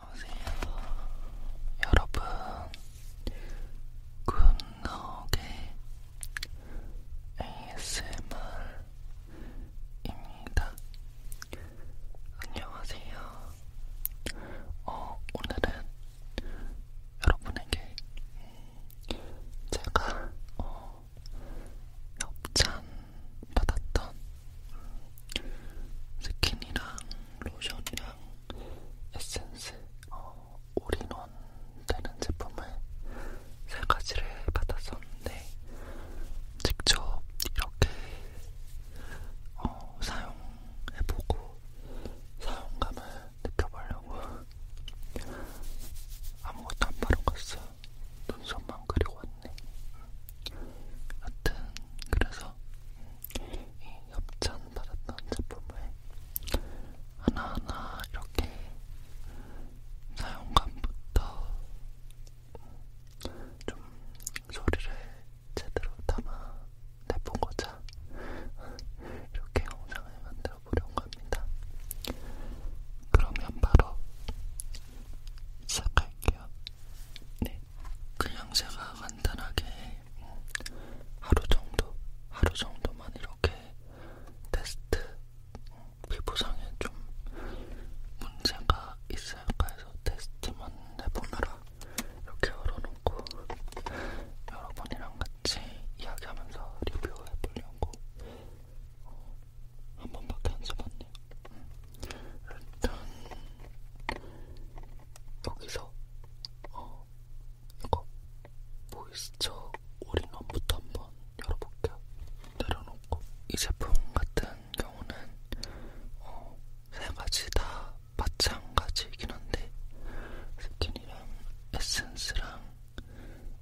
여보세요 여러분 굿나옥의 ASMR입니다 안녕하세요 어, 오늘은 여러분에게 음, 제가 어, 협찬 받았던 스킨이랑 로션이랑 에센스 어, 올인원 되는 제품을 세 가지를 받았었는데 직접 이렇게 어, 사용해보고 사용감을 느껴보려고 아무것도 안 바른 갔어. 눈썹만 그리고 왔네. 하여튼 그래서 이 협찬 받았던 제품을 하나하나 이렇게 사용감부터 좀 소리를 제대로 담아 내보고자 이렇게 영상을 만들어 배워보려고 합니다. 그러면 바로 시작할게요. 네, 그냥 제가 간단하게 하루 정도, 하루 정도만 이렇게 테스트 피부상에 좀 문제가 있을까 해서 테스트만 해보느라 이렇게 열어놓고 여러분이랑 같이 이야기하면서 리뷰해보려고 어, 한 번밖에 안 써봤네요. 일단 여기서 어, 이거 모이스처 올인원부터 한번 열어볼게요. 내려놓고 이 제품 같은 경우는 어, 세 가지 다 마찬가지이긴 한데 스킨이랑 에센스랑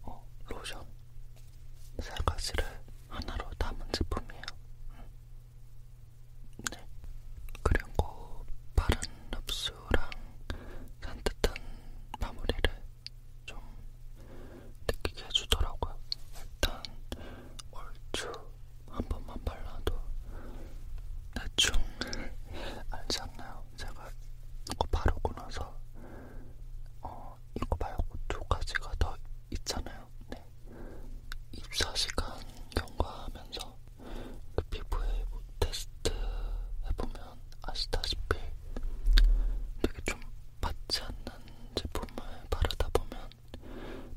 어, 로션 세 가지를 하나로 담은 제품이에요. 음. 네. 그리고 그 바른 흡수랑 산뜻한 마무리를 좀 느끼게 해주더라고요. 일단 얼추 한 번만 발라도 대충 알지 않나요? 제가 이거 바르고 나서 어, 이거 말고 두 가지가 더 있잖아요. 네. 24시간 경과하면서 그 피부에 뭐 테스트 해보면 아시다시피 되게 좀 받지 않는 제품을 바르다 보면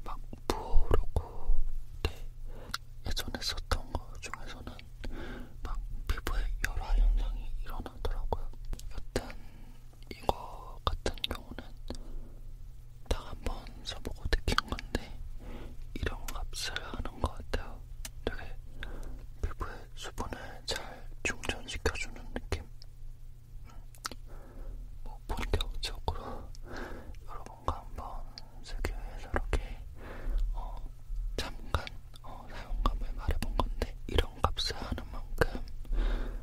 막 부어오르고 네. 예전에 썼던 거 중에서는 막 피부에 여러 현상이 일어나더라고요. 여튼 이거 같은 경우는 딱한번 써보고 느낀 건데 이런 값을 하는 것 같아요. 되게 피부에 수분을 잘 충전시켜주는 느낌? 뭐 본격적으로 여러분과 한번 쓰기 위해서 이렇게 어 잠깐 어, 사용감을 말해본 건데 이런 값을 하는 만큼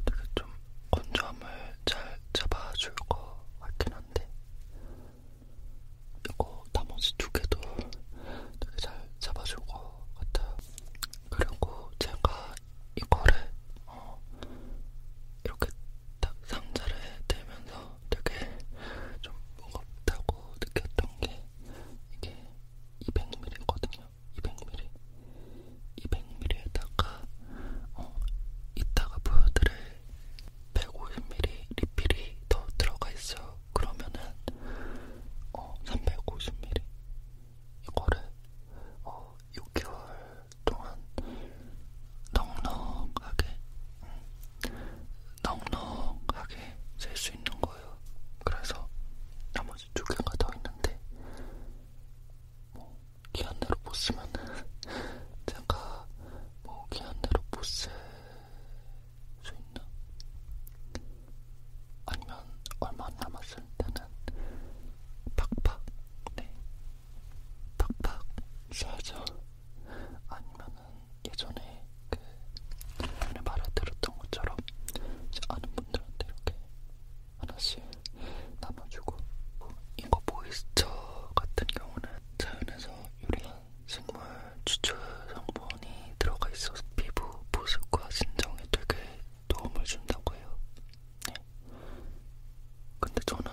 되게 좀 건조함을 잘 잡아줄 것 같긴 한데 이거 나머지 두 개도 되게 잘 잡아줄 것 같아요. 그리고 제가 이거를 어, 이렇게 딱 상자를 들면서 되게 좀 무겁다고 느꼈던 게 이게 200ml거든요. 200ml거든요. 200ml. 200ml에다가 어, 이따가 보여드릴 150ml 리필이 더 들어가 있어요. 그러면은 어, 350ml 이거를 어, 6개월 동안 넉넉하게 음, 넉넉하게 쓸 수 있는 거예요. 그래서 나머지 아직 두 개가 더 있는데 뭐 기한대로 못 쓰면은 제가 뭐 기한대로 못쓸수 있나? 아니면 얼마 안 남았을 때는 팍팍 네 팍팍 써야죠. 아니면은 예전에 그 말을 들었던 것처럼 아는 분들한테 이렇게 하나씩 나눠주고 이거 모이스처 같은 경우는 자연에서 유래한 식물 추출 성분이 들어가 있어서 피부 보습과 진정에 되게 도움을 준다고 해요. 네. 근데 저는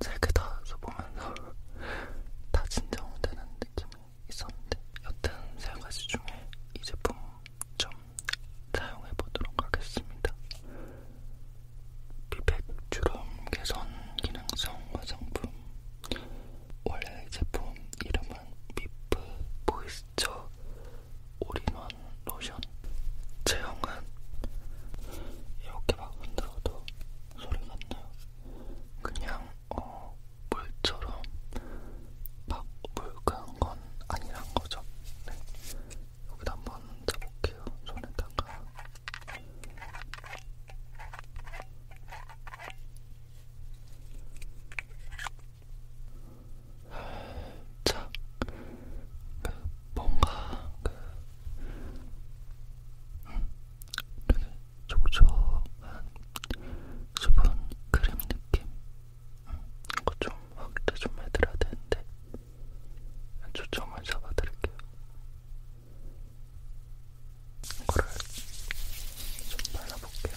세개다 써보면서 다 진정되는 느낌이 있었는데 여튼 세 가지 중에 이 제품 좀 사용해 보도록 하겠습니다. 피백 주름 개선 기능성 화장품 원래 제품 이름은 미프 모이스처 올인원 로션 제형은 이렇게 막 흔들어도 소리가 안 나요. 그냥 어, 물처럼 막 물간 건 아니란 거죠. 네. 여기다 한번 타볼게요. 손에다가. 자, 그 뭔가 그 음, 되게 촉촉한 수분 크림 느낌 그거 좀 확대 좀 해드려야 되는데 초점을 잡아드릴게요. 이거를 좀 발라볼게요.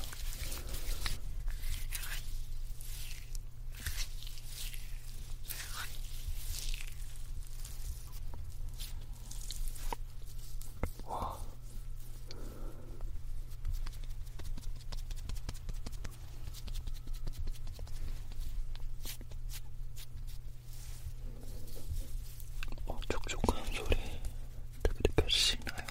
와, 어, 촉촉한 소리 되게 느껴지시나요?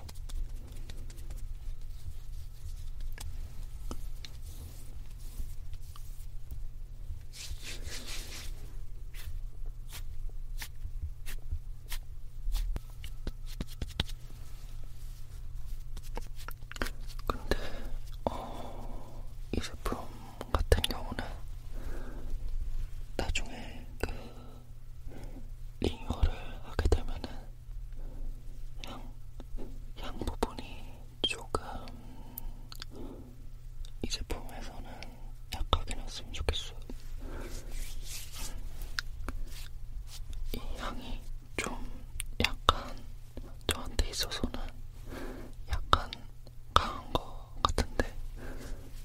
근데 어, 이 제품 같은 경우는 나중에 그 리뉴얼을 하게 되면은 향, 향 부분이 조금 이 제품에서는 약하게 났으면 좋겠어요. 이 향이 좀 약간 저한테 있어서는 약간 강한 거 같은데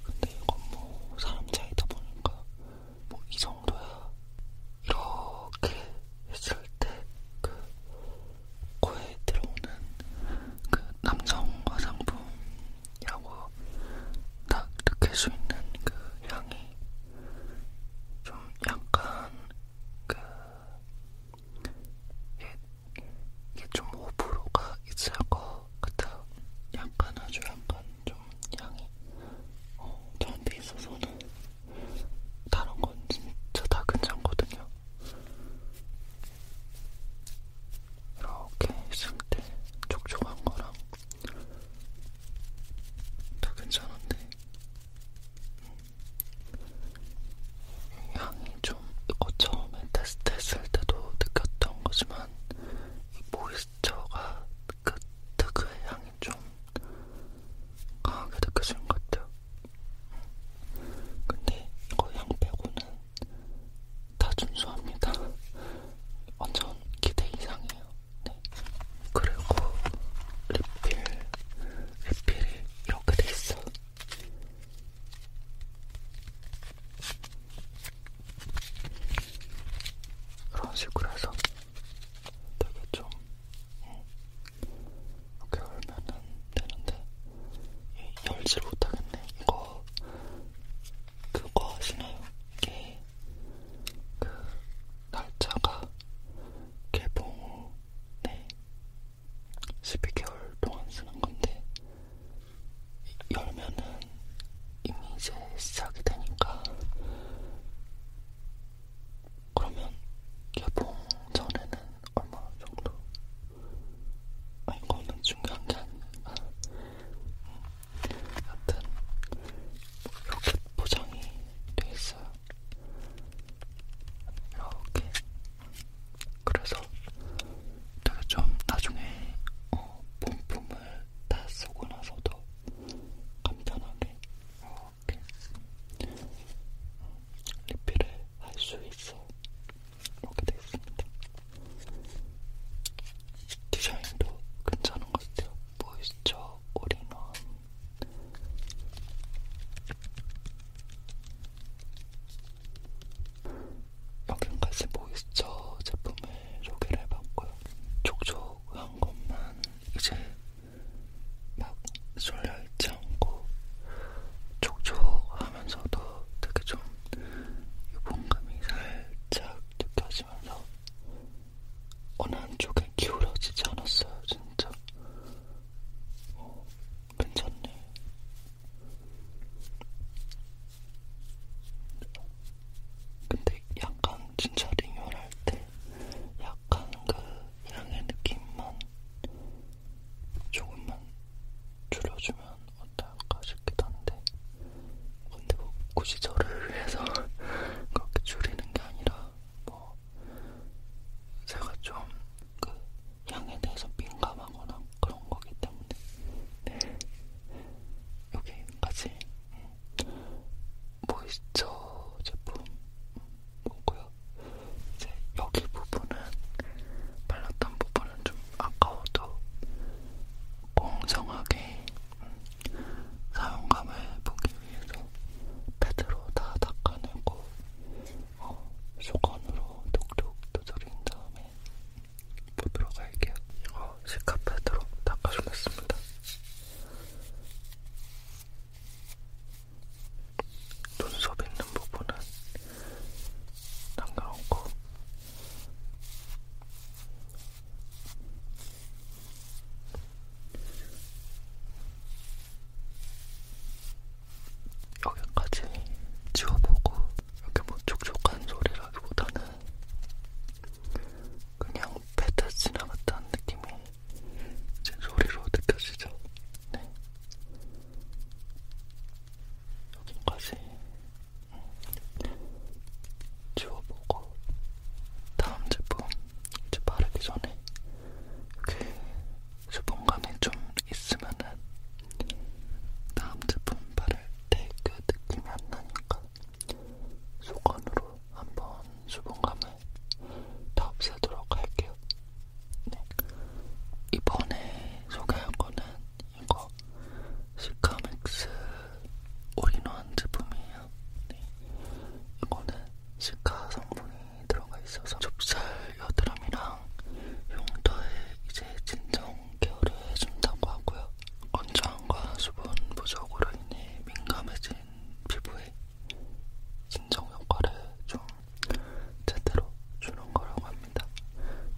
근데 이건 뭐 사람 차이다 보니까 뭐 이 정도야 이렇게 했을 때 그 코에 들어오는 그 남성 화장품이라고 딱 느낄 수 있는 그 향이 좀 약간 그 이게, 이게 좀 호불호가 있을 것 같아요. 약간 아주 약간 좀 양이 어, 저한테 있어서는 다른 건 진짜 다 괜찮거든요. 이렇게 있을 때 촉촉한 거랑 다 괜찮은데 향이 좀 어, 처음에 테스트 했을 때도 느꼈던 거지만 이 모이스처가 그 특유의 향이 좀 강하게 느껴지는 것 같아요. 근데 이거 향 빼고는 다 준수합니다. 완전 기대 이상이에요. 네. 그리고 리필, 리필이 이렇게 돼 있어. 이런 식으로 해서 되게 좀 어, 이렇게 열면은 되는데 열질 못하겠네. 이거 그거 아시나요? 이게 그 날짜가 개봉 후 네. 12개월 동안 쓰는 건데 열면은 이미 이제 시작이 되니까 그러면 개봉 전에는 얼마 정도? 아 이거는 중요한 게 아니니까 음, 하여튼 뭐 이렇게 포장이 돼 있어요. 이렇게 그래서 되게 좀 나중에 어, 본품을 다 쓰고 나서도 간편하게 이렇게 음, 리필을 할 수 있어 이렇게 되어 있습니다. 디자인도 괜찮은 것 같아요. 모이스처 올인원 여기까지 모이스처 뭐 제품을 소개를 해봤고요. 촉촉한 것만 이제 막 졸려있지 않고 촉촉하면서도 되게 좀 유분감이 살짝 느껴지면서 어느 한쪽에 기울어지지 않았어요, 진짜. 어, 괜찮네. 근데 약간 진짜 리뉴얼할 때 약간 그 향의 느낌만 조금만 줄여주면 어떨까 싶기도 한데 근데 뭐 굳이 저를 위해서 그렇게 줄이는 게 아니라 뭐 제가 좀 그 향에 대해서 민감하거나 그런 거기 때문에 네. 여기까지 모이스처 제품 보고요. 이제 여기 부분은 발랐던 부분은 좀 아까워도 공정하게 음, 사용감을 보기 위에서 패드로 다 닦아내고 어, 수건으로 톡톡 두드린 다음에 보도록 할게요. 이거 시카 패드로 닦아주겠습니다. 눈썹 있는 부분은 남겨놓고 여기까지 지워보고 이렇게 뭐 촉촉한 소리라기보다는 그냥 패드 지나갔다는 느낌이 제 소리로 느껴지죠. 네. 여기까지 음, 지워보고 다음 제품 이제 바르기 전에 그 수분감이 좀 있으면은 다음 제품 바를 때 그 느낌이 안 나니까 속건으로 한번 수분감을 다 없애도록 할게요. 네. 이번에 소개한 거는 이거 시카맥스 올인원 제품이에요. 네. 이거는 시카 성분이 들어가 있어서 좁쌀 여드름이랑 용도에 이제 진정 케어를 해준다고 하고요. 건조함과 수분 부족으로 인해 민감해진 피부에 진정 효과를 좀 제대로 주는 거라고 합니다.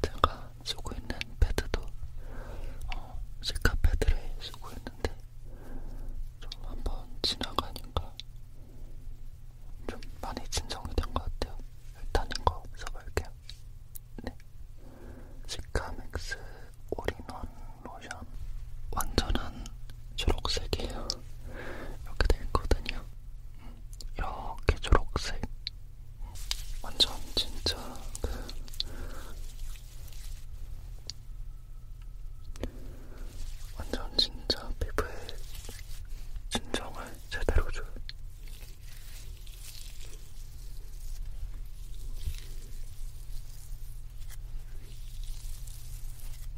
제가 쓰고 있는 패드도 어, 시카 패드를 쓰고 있는데 좀한번 지나가니까 좀 많이 진정이 된 것 같아요. 일단 이거 써볼게요. 네. 시카맥스 올인원 로션 완전한 초록색이에요. 이렇게 돼 있거든요. 이렇게 초록색. 완전 진짜 그 완전 진짜 피부에 진정을 제대로 줘요.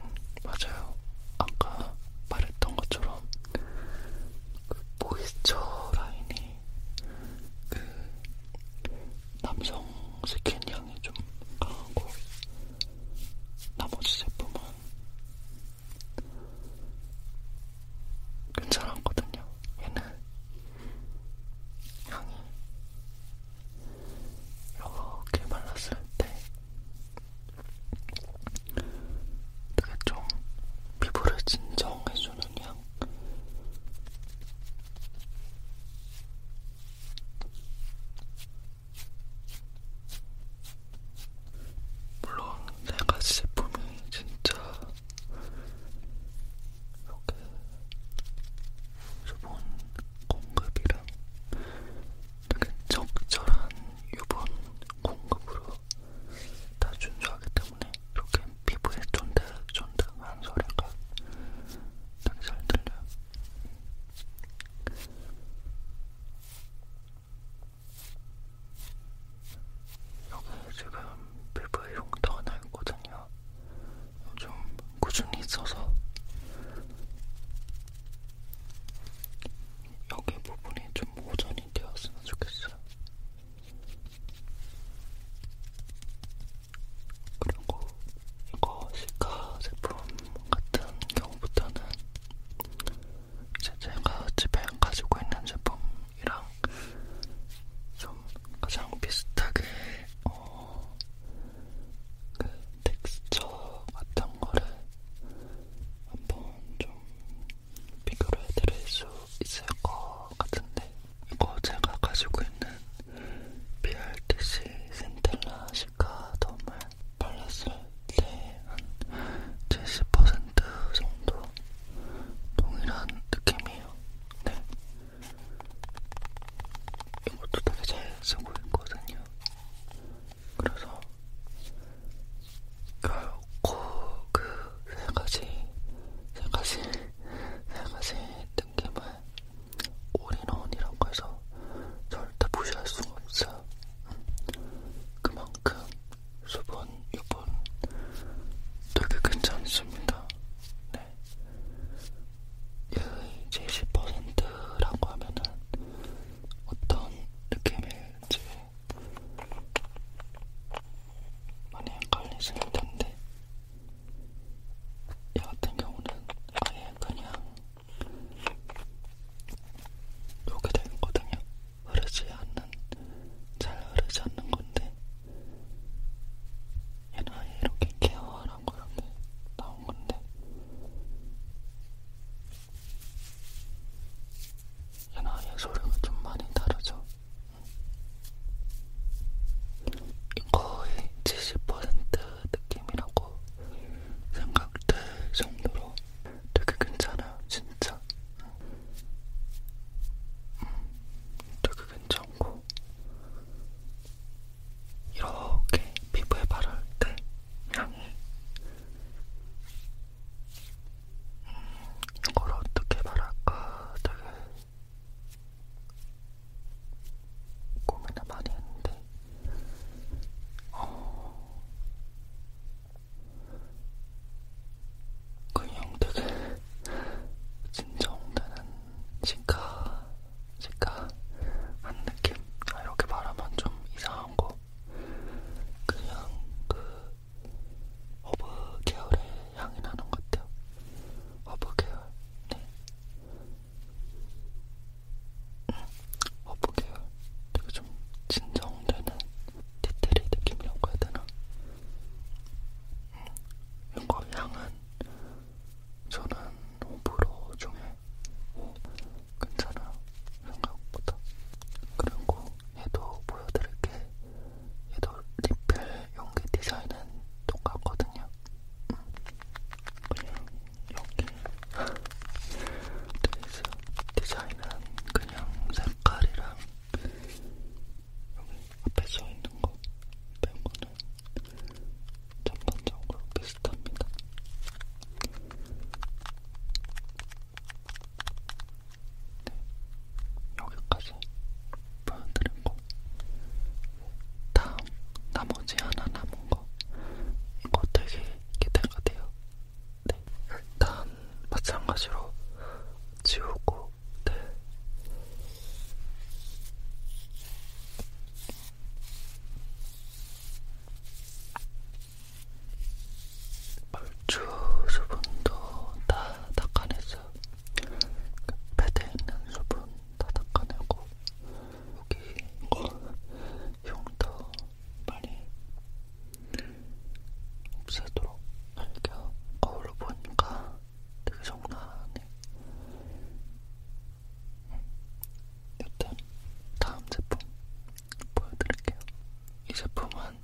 음, 맞아요. 아까 말했던 것처럼 그 모이스처 라인이 그 남성 스킨 향이 좀 강하고 나머지 제품은 괜찮았거든요. 얘는 향이 이렇게 발랐을 때 되게 좀 피부를 진정해주는 향. 물론 네 가지 제품이 진짜 이렇게 수분 공급이랑 되게 적절한 유분 공급으로 다 준수하기 때문에 이렇게 피부에 쫀득쫀득한 소리가 되게 잘 들려요. 여기 지금 피부에 흉터가 나 있거든요. 요즘 꾸준히 있어서 여기 부분이 좀 보존이 되었으면 좋겠어요. 그리고 이거 시카 제품 같은 경우보다는 이제 제가 집에 가지고 있는 제품이랑 좀 가장 비슷하게 어, 그 텍스처 같은 거를 한번 좀 비교를 해드릴 수 있을 것 같은데 이거 제가 가지고 있는 BRTC 센텔라 시가덤을 발랐을 때 한 70% 정도 동일한 느낌이에요. 네. 이것도 되게 잘 쓰고 있거든요. 그래서 결코 그세 가지, 세 가지, 세 가지 느낌을 올인원이라고 해서 절대 무시할 수가 없어. 그만큼 수분, 유분 되게 괜찮습니다. 네. 얘의 70%라고 하면은 어떤 느낌일지 많이 헷갈리시는 텐데 얘 같은 경우는 아예 그냥 이렇게 되거든요. 흐르지 않는, 잘 흐르지 않는 건데, 얘는 아예 이렇게 케어하라고 이렇게 나온 건데, 얘는 아예 소리가 좀 많이 다르죠. 거의 70% 느낌이라고 생각될 정도로 되게 괜찮아요, 진짜. 음, 되게 괜찮고 이렇게 피부에 바를 때 향이 음, 이걸 어떻게 바랄까 되게 고민을 많이 했는데 어... 그냥 되게 진정되는 시카, 시카한 느낌? 아, 이렇게 말하면 좀 이상한 거. 그냥 그 허브 계열의 향이 나는 것 같아요. 허브 계열. 네. 어깨 되게 좀 진정되는 디테일 느낌이라고 해야 되나? 이거 음, 그 향은 저는 호불호 중에 오, 뭐 괜찮아 생각보다 그리고 얘도 보여드릴게 얘도 리필 용기 디자인은 똑같거든요 그냥 음. 여기 돼있어 디자인은 그냥 색깔이랑 여기 앞에 써있는 거 빼고는 전반적으로 비슷합니다. 네, 여기까지 보여드리고 다음 나머지 하나 남은 거 이거 되게 기대가 돼요. 네. 일단 마찬가지로 지우고 네. 얼추 수분도 다 닦아냈어요. 패드에 있는 수분 다 닦아내고 여기 이거 흉터 많이 없애도록 이렇게 거울로 보니까 되게 정나하네 음, 여튼 다음 제품 보여드릴게요 이 제품은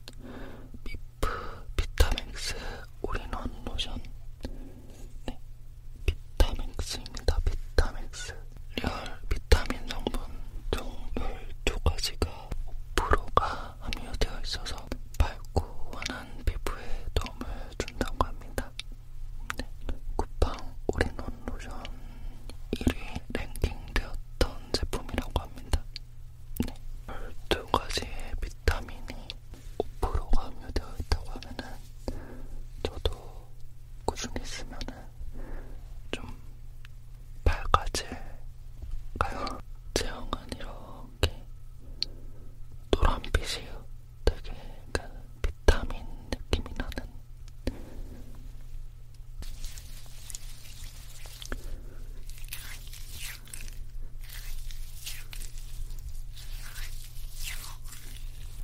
미프 비타맥스 올인원 로션 네, 비타맥스입니다. 비타맥스 리얼 비타민 성분 총 12가지가 5%가 함유되어 있어서 밝고 환한 피부에 도움을 준다고 합니다. 네. 쿠팡 올인원 로션 1위 랭킹되었던 제품이라고 합니다. 네. 12가지의 비타민이 5%가 함유되어 있다고 하면은 저도 꾸준히 쓰면은 좀 발까지 가요. 제형은 이렇게 노란빛이에요. 되게 그 비타민 느낌이 나는.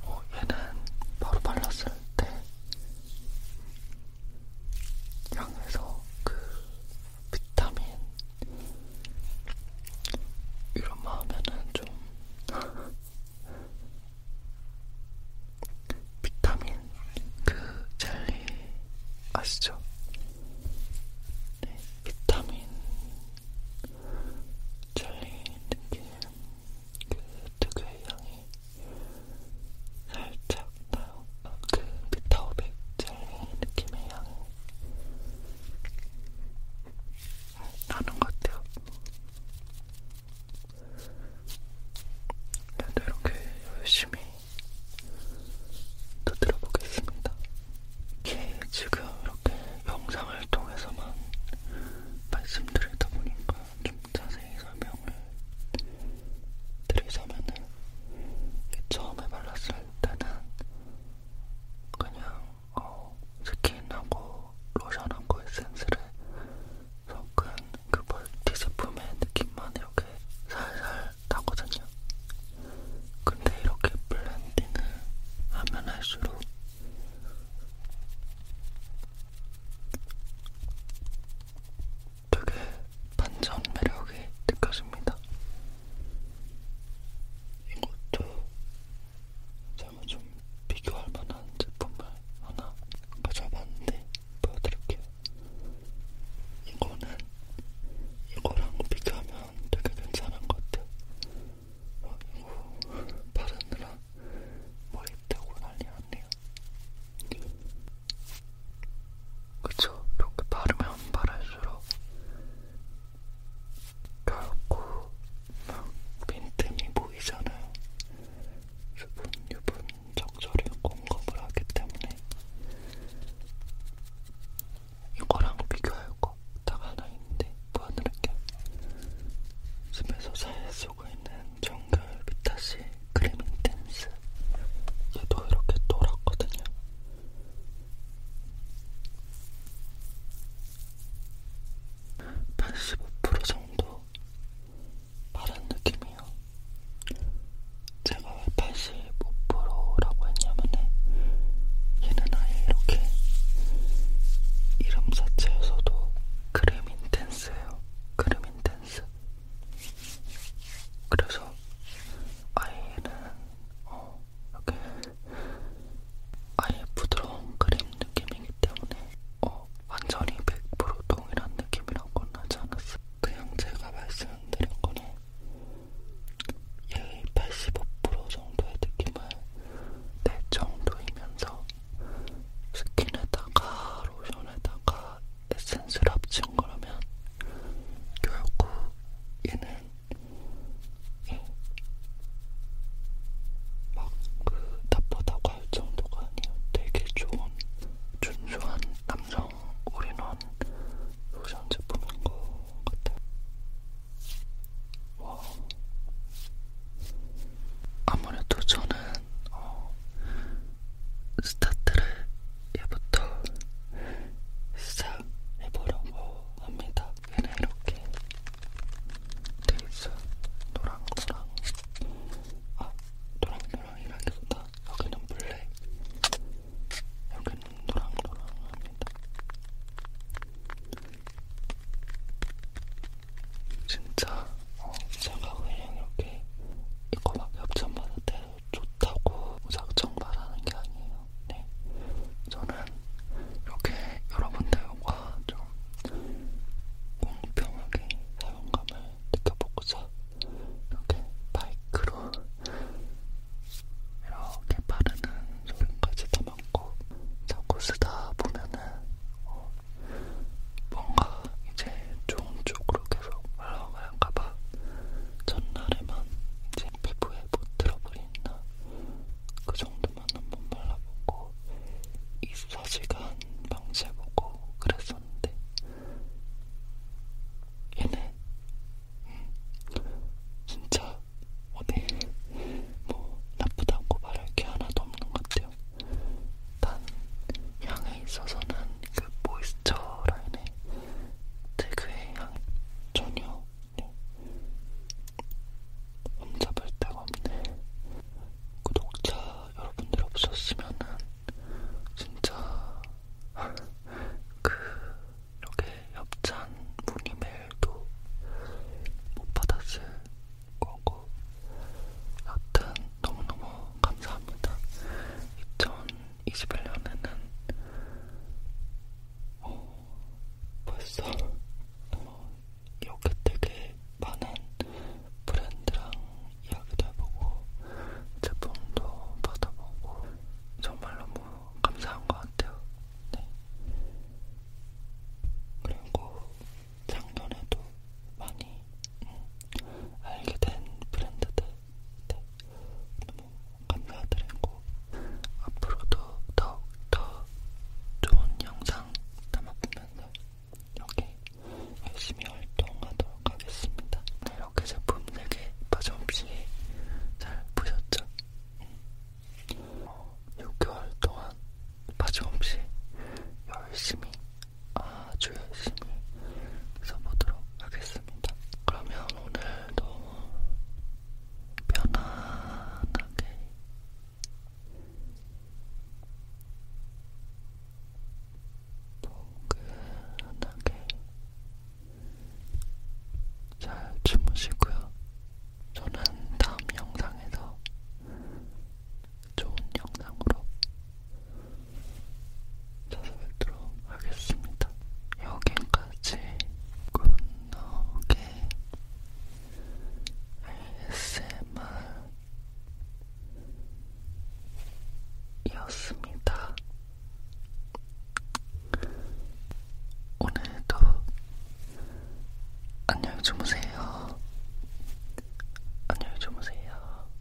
어, 얘는 바로 발랐을 때 양에서 그 비타민 이런 마 하면은 좀 비타민 그 젤리 아시죠? 네, 비타민 젤리 느낌 그 특유의 향이 살짝 나요. 아, 그 비타오백 젤리 느낌의 향이 나는 것 같아요. 그래도 이렇게 열심히 또 들어보겠습니다. 지금 이렇게 영상을 통해서만 말씀드리다 보니까 좀 자세히 설명을 드리자면은 처음에 발랐을 때는 그냥 어, 스킨하고 로션하고 에센스를 섞은 그 멀티 제품의 느낌만 이렇게 살살 나거든요. 근데 이렇게 블렌딩을 하면 할수록 되게 반전 매력이 느껴집니다. 이것도 제가 좀 비교할 만한 제품을 하나 가져봤는데 보여드릴게요. 이거는 이거랑 비교하면 되게 괜찮은 것 같아요. 어, 이거 바르느라 머리 떼고 난리 났네요. 그쵸? 이렇게 바르면 바를수록 결코 막 빈틈이 보이잖아요. 수분, 유분 적절히 공급을 하기 때문에 이거랑 비교할 거딱 하나 있는데 보여드릴게요. 집에서 잘 쓰고 있는 정글 비타시 크리밍 댄스 얘도 이렇게 돌았거든요. 팔십오 프로 정도 바른 느낌이요. 제가 왜 팔십오 프로라고 했냐면은 얘는 아예 이렇게 이름 자체에서도 크리밍 댄스예요. 크리밍 댄스. 그래서 아이는 어, 이렇게 아예 부드러운 크림 느낌이기 때문에 어, 완전히 100% 동일한 느낌이란 건 하지 않았어요. 그냥 제가 말씀드린 거는 얘의 85% 정도의 느낌을 내 정도이면서 스킨에다가 로션에다가 에센스를 합친 거라면 결국 얘는 막그 나쁘다고 할 정도가 아니에요. 되게 좋은 준수한 남성 올인원 로션 제품인 것 같아요. 와. 아무래도 저는 어, 스타트를 얘부터 시작해보려고 합니다. 얘는 이렇게 돼있어. 노랑노랑. 아, 노랑노랑이라기보다 여기는 블랙. 여기는 노랑노랑합니다. 진짜 어, 제가 그냥 이렇게 이거 막 협찬 받을 때는 좋다고 무작정 말하는 게 아니에요. 네. 저는 이렇게 여러분들과 좀 공평하게 사용감을 느껴보고자 이렇게 마이크로 이렇게 바르는 소리까지 담았고 자꾸 쓰다 보면은 어 뭔가 올라가다가 이제 좋은 쪽으로 계속 올라갈까봐 전날에만 이제 피부에 뭐 트러블이 있나 그 정도만 한번 발라보고 24시간 방치해보고 그랬었는데 얘네 음, 진짜 어디 뭐 나쁘다고 말할 게 하나도 없는 것 같아요. 단 향에 있어서는 그 모이스처 라인의 특유의 향이 전혀 흠잡을 음, 데가 없네. 구독자 여러분들 없었으면은 진짜 그 이렇게 협찬 문의 메일도 못 받았을 거고 여튼 너무너무 감사합니다. 2000 2021년에는 어, 벌써 어, 이렇게 되게 많은 브랜드랑 이야기도 해보고 제품도 받아보고 정말 너무 감사한 것 같아요. 네. 그리고 작년에도 많이 음, 알게 된 브랜드들 네, 너무 감사드리고 앞으로도 더욱더 좋은 영상 담아보면서 여기 열심히 활동하도록 하겠습니다. 네, 이렇게 제품 되게 빠짐없이 잘 보셨죠? 음. 어, 6개월 동안 빠짐없이 열심히 어, 아주 열심히 써보도록 하겠습니다. 그러면 오늘도 편안하게 포근하게 잘 주무시고요. 저는 다음 영상에서 좋은 영상으로 찾아뵙도록 하겠습니다. 여기까지 굿노게 ASMR이었습니다. 오늘도 안녕히 주무세요. 안녕히 주무세요.